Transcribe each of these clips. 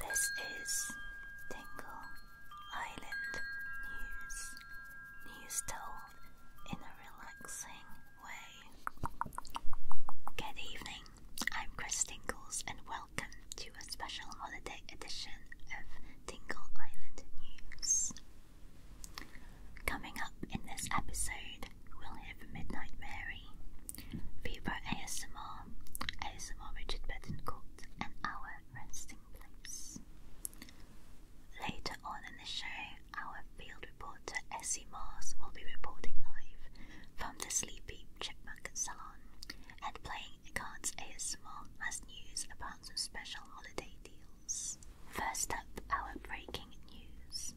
This is Tingle Island News. News told in a relaxing way. Good evening, I'm Chris Tingles, and welcome to a special holiday edition of Tingle Island News. Coming up in this episode, we'll hear from Midnight Mary, Viva ASMR, ASMR Richard Betancourt, and our resting place. Later on in the show, our field reporter Essie Mars will be reporting live from the Sleepy Chipmunk Salon and playing cards ASMR has news about some special holiday deals. First up, our breaking news.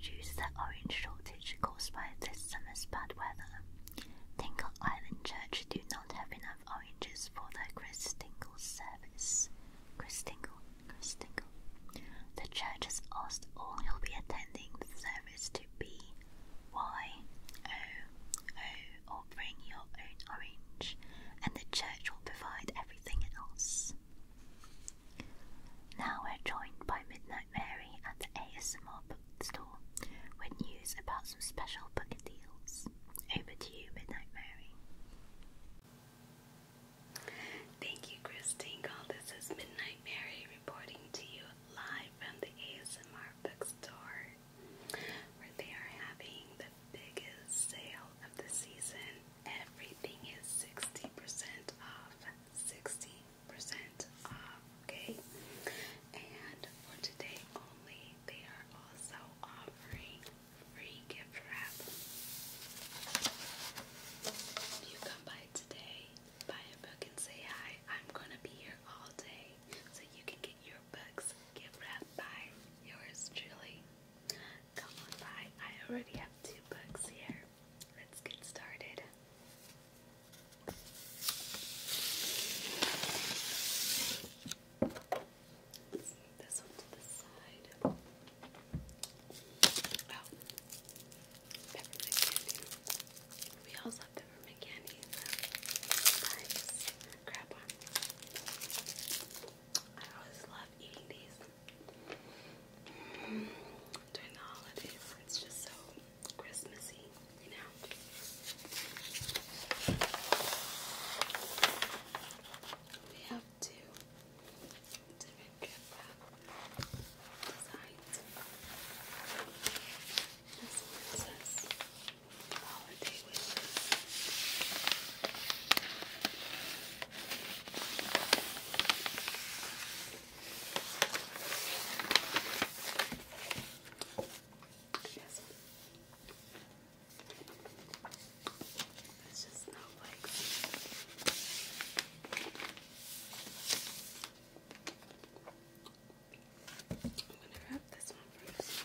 Due to the orange shortage caused by this summer's bad weather, Tingle Island Church do not have enough oranges for the Christingle service. Christingle, Christingle. The church has asked all who'll be attending the service to be Y O O or bring your own orange, and the church will provide everything else. Now we're joined by Midnight Mary and the Mob bookstore with news about some special book deals. Over to you, Midnight Mary. Thank you, Christine This is Midnight Mary reporting to you live from the ASMR bookstore where they are having the biggest sale of the season. Everything is 60% off. 60 off, okay? And for today only, they are also offering free gift wrap. If you come by today, buy a book and say hi. I'm gonna be here all day, so you can get your books gift wrap by yours truly. Come on by. I already have two books here. Let's get started this one to the side. Oh, peppermint candy. We all love peppermint candy. Grab one. I always love eating these during the holidays. It's just so Christmassy, you know. We have two different gift wrap This one holiday wishes. Yes. It's just not like I'm gonna wrap this one first.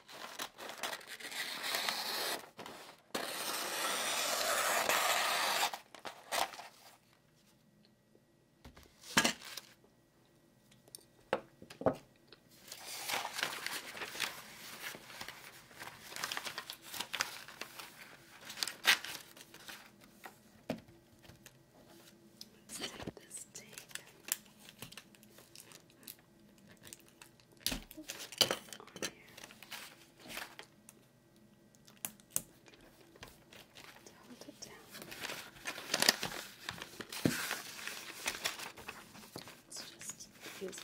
Let's take this tape on here. Hold it down. Let's just use that.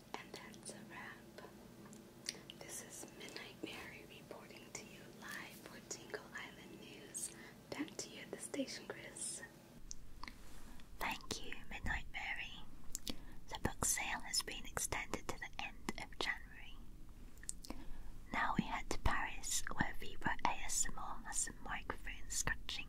And that's a wrap. This is Midnight Mary reporting to you live for Tingle Island News. Back to you the station, Chris. Thank you, Midnight Mary. The book sale has been extended to the end of January. Now we head to Paris, where Vibra ASMR has some microphone scratching.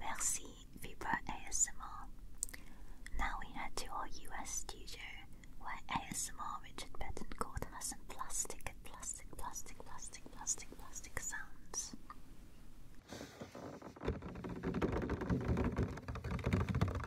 Merci Vibra ASMR. Now we head to our US studio where ASMR Richard Betancourt has some plastic and plastic, plastic, plastic, plastic, plastic sounds.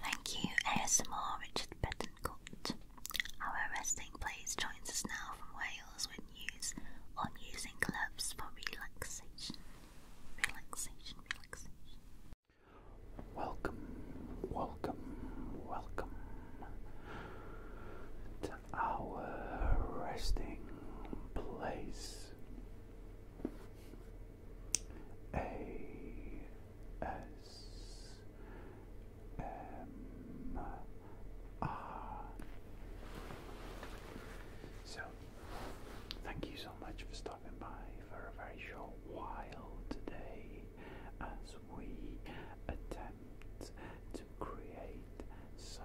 Thank you, ASMR Richard Betancourt. Our resting place joins us now from Wales when news on using clubs for relaxation. Relaxation, relaxation. Welcome, welcome, welcome to our resting place. A S M R. So, thank you so much for stopping by for a very short while today as we attempt to create some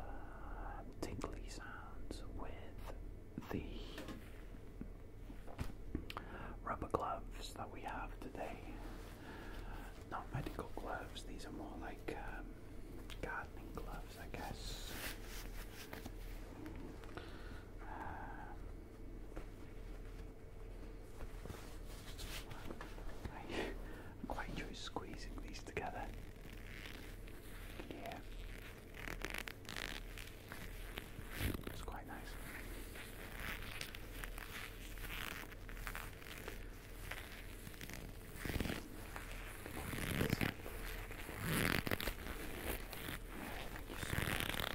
tingly sounds with the rubber gloves that we have today. Not medical gloves, these are more like um, gardening gloves, I guess. Um, I quite enjoy squeezing these together. Yeah. It's quite nice.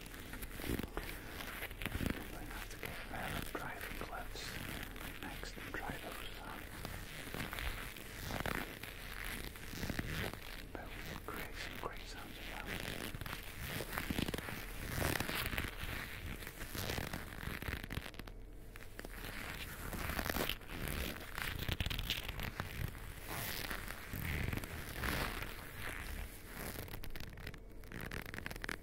I'm going to have to get a pair of driving gloves next and try those out. But we will create some great sounds about it. Thank you.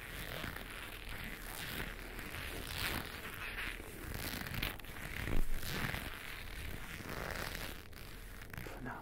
For now.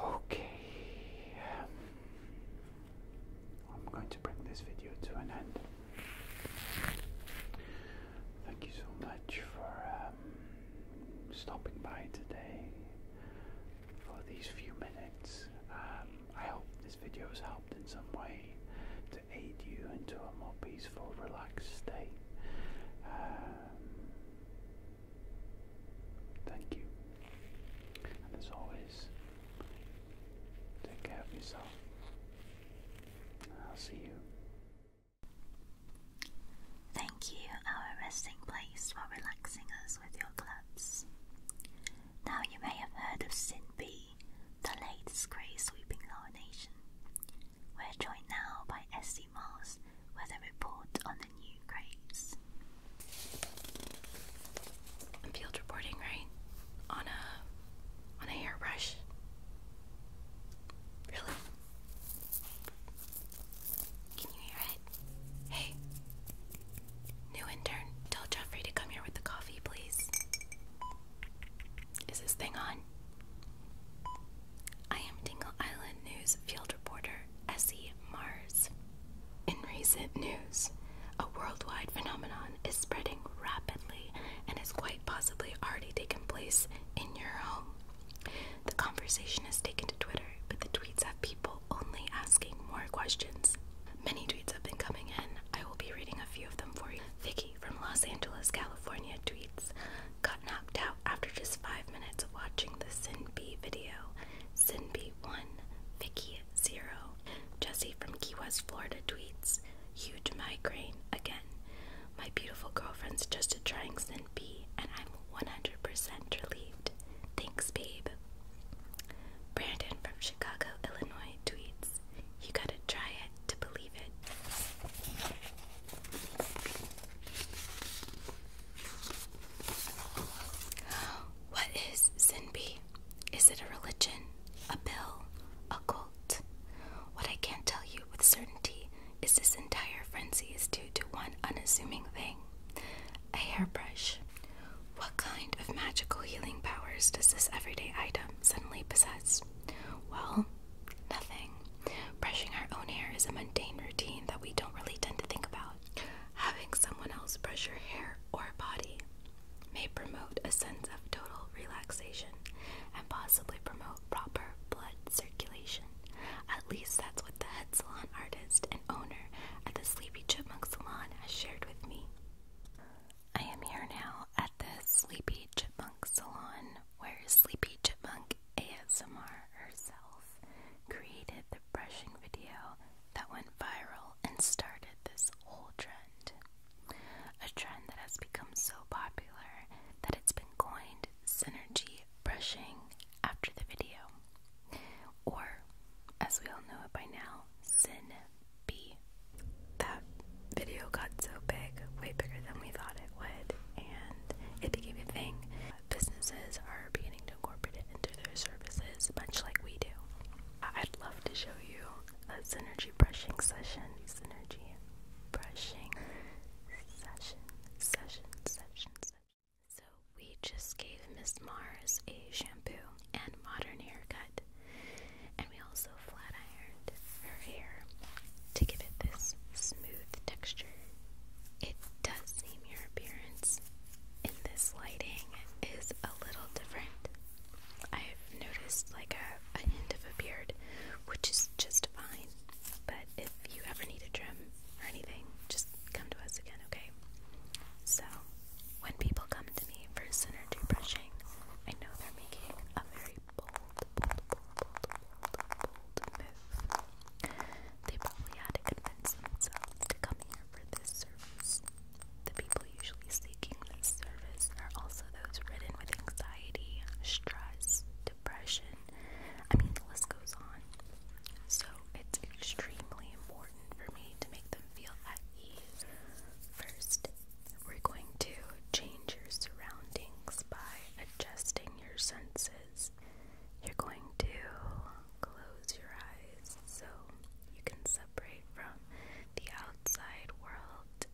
Okay, um, I'm going to bring this video to an end. Thank you so much for um, stopping by today for these few minutes. Um, I hope this video has helped in some way to aid you into a more peaceful, relaxed state. Um, thank you. And as always, take care of yourself. I'll see you. Thank you, our resting place, for relaxing us with your clubs. Now you may have heard of Sin the latest grace sweeping our nation. We're joined now by S.C. Mars with a report on the new graves. field reporting, right? On a on a hairbrush. Really? Can you hear it? Hey, new intern, tell Jeffrey to come here with the coffee, please. Is this thing on? I am Dingle Island News field reporter Essie Mars. In recent news, a worldwide phenomenon is spreading rapidly and has quite possibly already taken place in your home. The conversation has taken to Twitter, but the tweets have people only asking more questions. Many tweets have been coming in. I will be reading a few of them for you. Vicky from Los Angeles, California tweets, got knocked out after just five minutes of watching the Sin B video. Sin B 1, Vicky 0. Jesse from Key West, Florida tweets, huge migraine again. My beautiful girlfriend's just trying B, and I'm 100% relieved. Thanks, babe. Brandon from Chicago, Illinois tweets, You gotta try it to believe it. What is Sinbi? Is it a religion, a bill, a cult? What I can't tell you with certainty is this entire frenzy is due to one unassuming thing a hairbrush. What kind of magical healing powers does this everyday item suddenly possess? Well, nothing. Brushing our own hair is a mundane routine that we don't really tend to think about. Having someone else brush your hair or body may promote a sense of total relaxation and possibly promote proper blood circulation. At least that's what the head salon artist owner at the Sleepy Chipmunk Salon has shared with me. I am here now at the Sleepy Chipmunk Salon where Sleepy Chipmunk ASMR herself created the brushing video that went viral and started this whole trend. A trend that has become so popular that it's been coined synergy brushing after the video, or as we all know it by now, Sin B. That video got so big, way bigger than we thought it would, and it became a thing. Businesses are beginning to incorporate into their services, much like we do. I'd love to show you a synergy brushing session. Synergy brushing session, session, session, session. So we just gave Miss Mars a shampoo and modern haircut. And we also flat ironed her hair to give it this smooth texture. It does seem your appearance in this lighting is a little different. I've noticed like a, a hint of a beard, which is just fine. But if you ever need a trim, or anything, just come to us again, okay? So, when people come to me for sin brushing, I know they're making a very bold, bold, bold, bold, bold, bold move. They probably had to convince themselves to come here for this service. The people usually seeking this service are also those ridden with anxiety, stress, depression. I mean, the list goes on. So, it's extremely important for me to make them feel at ease. First, we're going to change your surroundings by adjusting your senses. You're going to close your eyes so you can separate from the outside world.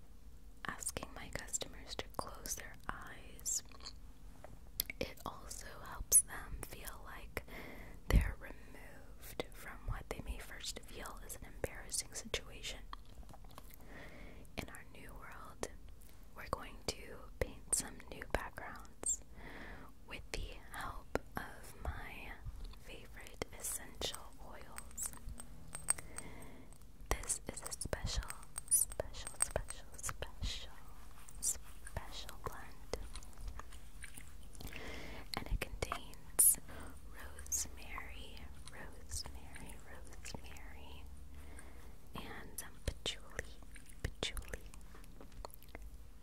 Asking my customers to close their eyes it also helps them feel like they're removed from what they may first feel is an embarrassing situation. In our new world, we're going to paint some new backgrounds with the help of my favorite essential oils. This is a special, special, special special, special, blend. And it contains rosemary, rosemary, rosemary, and patchouli, patchouli,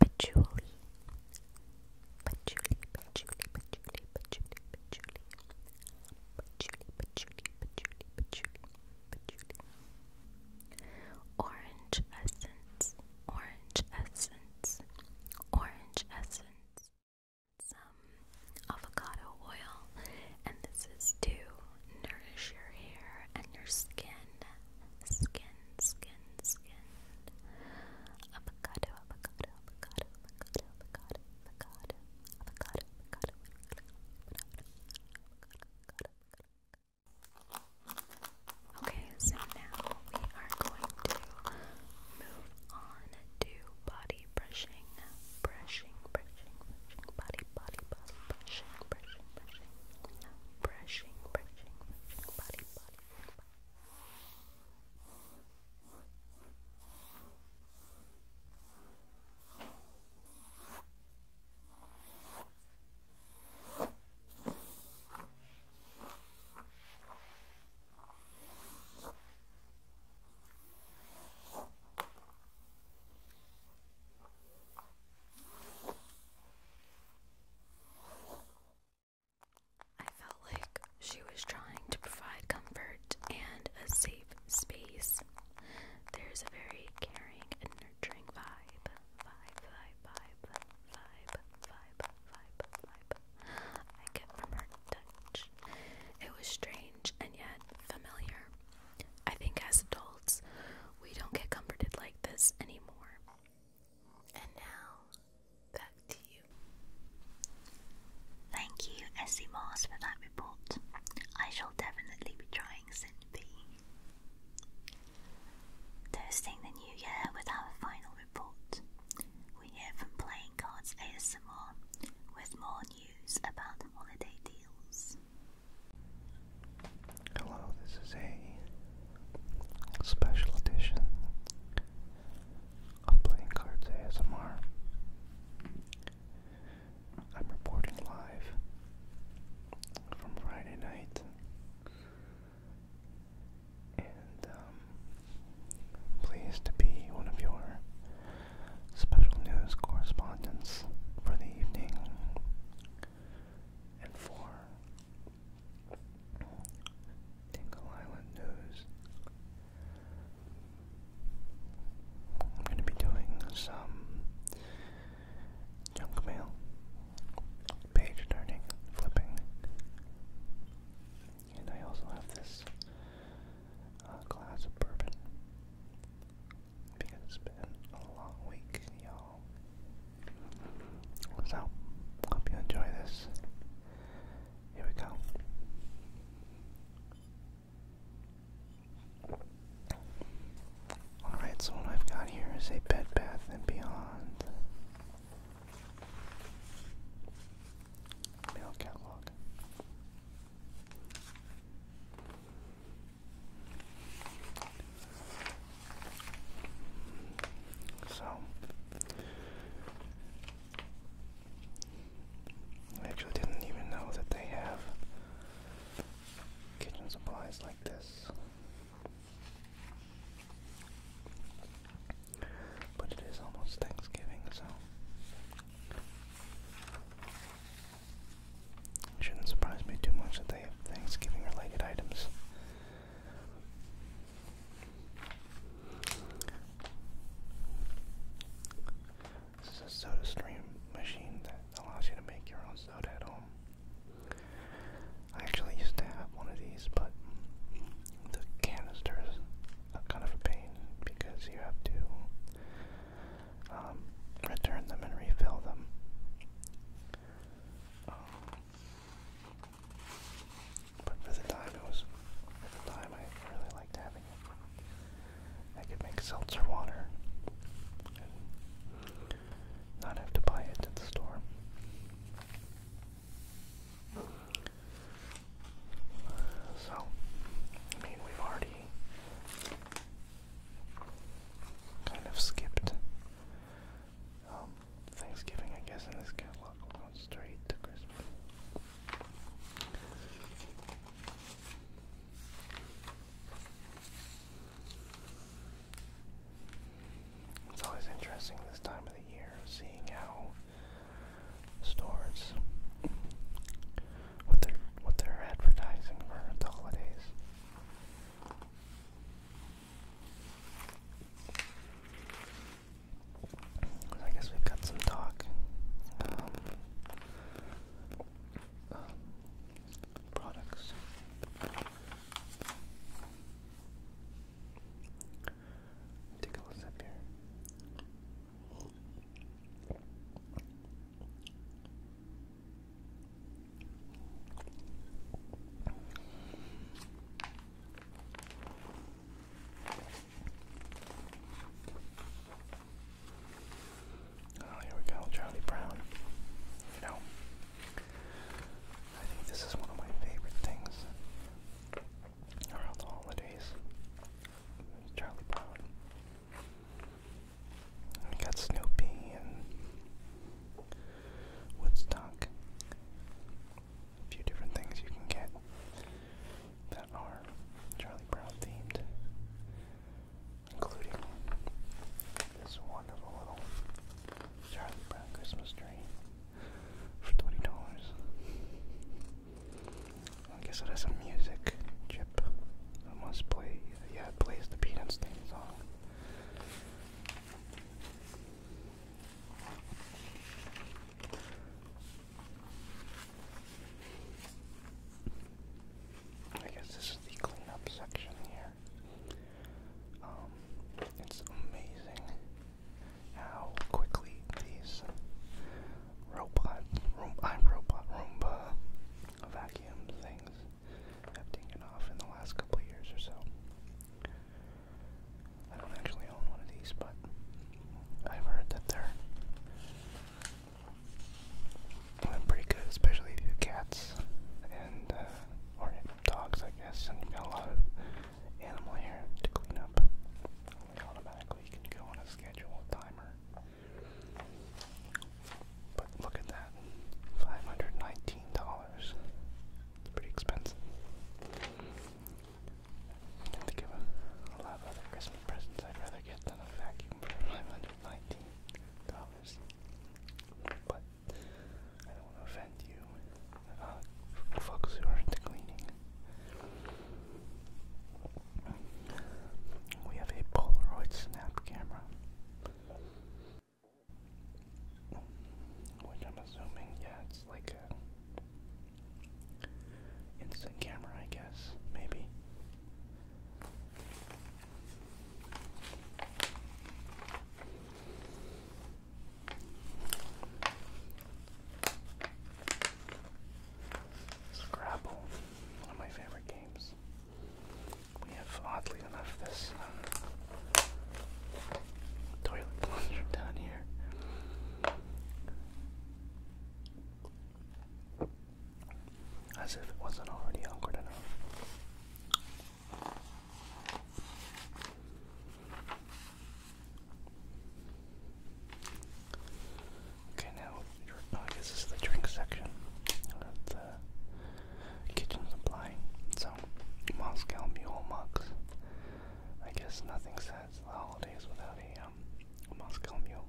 patchouli, patchouli, patchouli, patchouli. Patchouli, patchouli, patchouli, patchouli, patchouli, Orange essence, orange essence, orange essence. Some avocado oil, and this is to nourish your hair and your skin. Skin, skin, skin. Avocado, avocado, avocado, avocado, avocado, avocado, avocado, avocado, avocado, avocado, avocado, avocado, avocado, avocado, avocado. Okay, so now we are going to move on to body brushing, brushing, brushing, brushing, body, body, body, brushing, brushing, brushing, brushing, brushing, brushing, body, body, body. I felt like she was trying to provide comfort and a safe space. There's a very caring and nurturing vibe. Vibe, vibe, vibe, vibe, vibe, vibe, vibe. I get from It was strange and yet familiar. I think as adults, we don't get comforted like this anymore. And now, back to you. Thank you, Essie Mars, for that report. I shall definitely be trying Sin B. Toasting the new year with our final report. We hear from Playing Cards ASMR with more news about holiday deals. Hello, this is a special edition of Playing Cards ASMR. I'm reporting live from Friday night and um, pleased to be one of your special news correspondents for the evening and for Tingle Island News. I'm going to be doing some junk mail page turning, flipping. And I also have this uh, glass of bourbon because it's been a long week, y'all. So, hope you enjoy this. Here we go. Alright, so what I've got here is a Bed Bath and Beyond Mail catalog. So I actually didn't even know that they have kitchen supplies like this. But it is almost Thanksgiving, so shouldn't surprise me too much that they have Thanksgiving related items. This is a soda stream machine that allows you to make your own soda at home. I actually used to have one of these, but the canisters are kind of a pain because you have to um, return them and refill them. Um, but for the time, it was for the time I really liked having it. I could make seltzer water and not have to buy it at the store. So, I mean, we've already kind of skipped um, Thanksgiving, I guess, and this catalog. We're straight to Christmas. It's always interesting this time of the year seeing how stores what they're what they're advertising for the holidays. I guess we've got some talk. Um, um, products. Take a little sip here. Oh, here we go, Charlie Brown. You know, I think this is one of my favorite things around the holidays. Charlie Brown. We got Snoopy and Woodstock. A few different things you can get that are Charlie Brown themed, including this wonderful little Charlie Brown Christmas tree for twenty dollars. I guess it has some music chip. It must play. Yeah, plays the Peanuts theme song. I guess this is the cleanup section here. Um, it's amazing how quickly these robot, room, I'm robot Roomba vacuum things have taken off in the last couple of years or so. I don't actually own one of these, but I've heard that they're pretty good, especially if you have cats and uh, or dogs, I guess, and you've got a lot of animal hair to clean up. automatically you can go on a schedule timer. But look at that. Five hundred and nineteen dollars. pretty expensive. I think of a, a lot of other Christmas presents I'd rather get than a vacuum for five hundred and nineteen dollars. But I don't want to offend you. Uh, folks who are into cleaning. We have a Polaroid snap camera. Which I'm assuming, yeah, it's like a instant camera, I guess, maybe. Scrabble, one of my favorite games. We have, oddly enough, this uh, toilet plunger down here. As if it wasn't already awkward enough. Okay, now oh, I guess this is the drink section the kitchen supply. So, Moscow Mule mugs. I guess nothing says holidays without a um, Moscow Mule.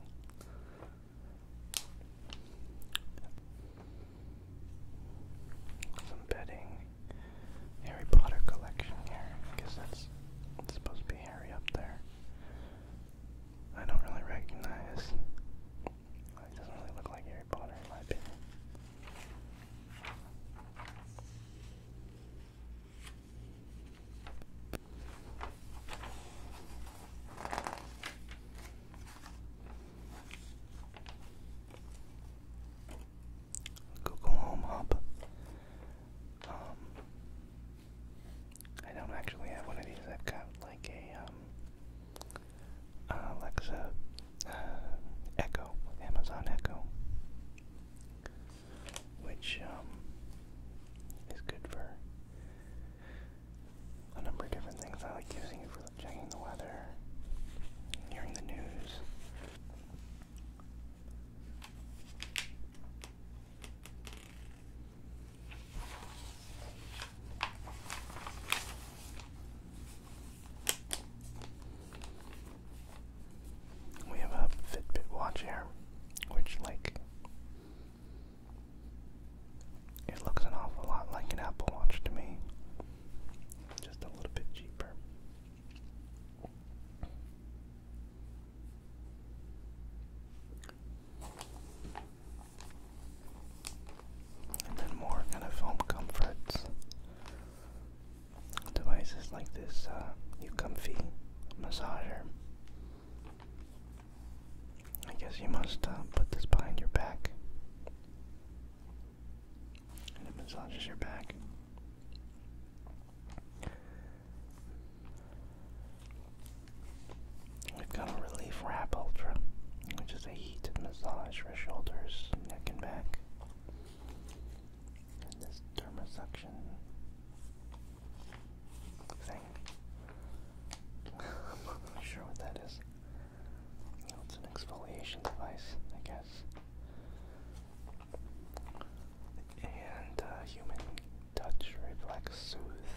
Some bedding Harry Potter collection here. I guess that's supposed to be Harry up there. I don't really recognize. doesn't really look like Harry Potter in my opinion. Google Home Hub. Um, I don't actually have one of these. I've got like a um, Alexa uh, Echo, Amazon Echo, which um, is good for a number of different things. I like using it for checking the weather, hearing the news. We have a Fitbit watch here, which, like, it looks an awful lot like an Apple Watch to me. Just a little bit cheaper. And then more kind of home comforts. Devices like this, uh, comfy massager. I guess you must uh, put this behind your back. And it massages your back. We've got a Relief Wrap Ultra, which is a heat massage for shoulders, neck, and back. And this dermosuction thing. I'm not sure what that is. You it's an exfoliation device, I guess and uh, human touch reflex soothe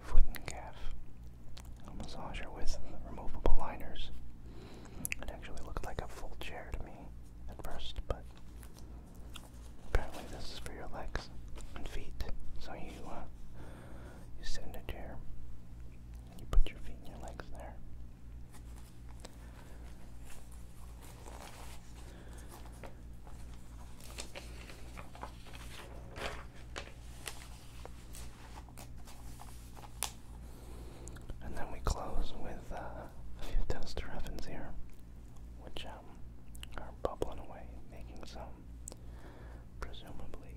foot and calf. A massager with removable liners. It actually looked like a full chair to me at first, but apparently this is for your legs and feet. So you uh, you sit in a chair and you put your feet and your legs there. And then we close with uh, a few toaster ovens here, which um, are bubbling away, making some presumably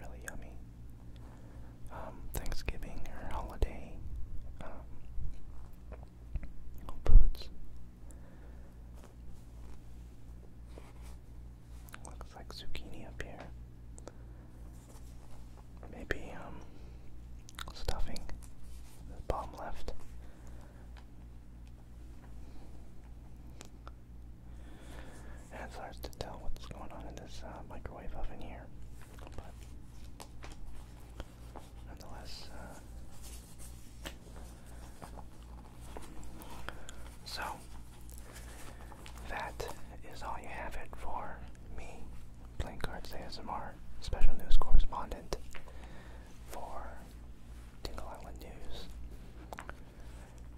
really yummy um, Thanksgiving or holiday um, foods. Looks like zucchini up here. Maybe um, stuffing. bottom left. And it's to tell what's going on in this uh, microwave oven here nonetheless. Uh, so, that is all you have it for me, Playing Cards ASMR, special news correspondent for Dingle Island News.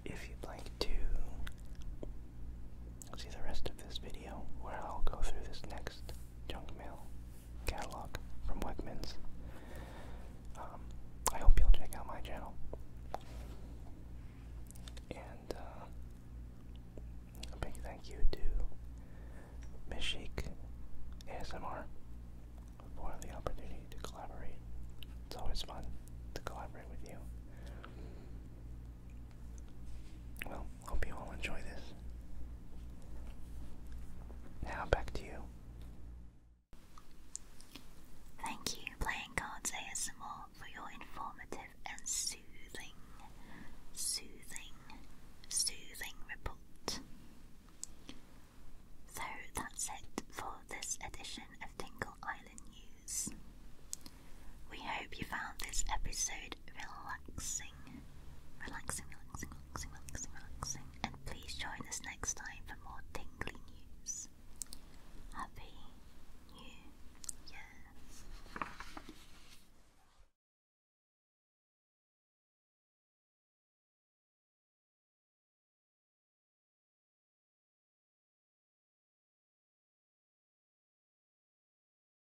If you'd like to see the rest of this video, where I'll go through this next junk mail catalog from Wegmans. Um, I hope you'll check out my channel. And uh, a big thank you to Mishik ASMR for the opportunity to collaborate. It's always fun to collaborate with you. Well, hope you all enjoy this. Now back to you. Thank you, Playing Cards ASMR, for your informative and soothing, soothing, soothing report. So that's it for this edition of Dingle Island News. We hope you found this episode relaxing. Relaxing, relaxing, relaxing, relaxing, relaxing. And please join us next time for more tingly news. Happy New Year.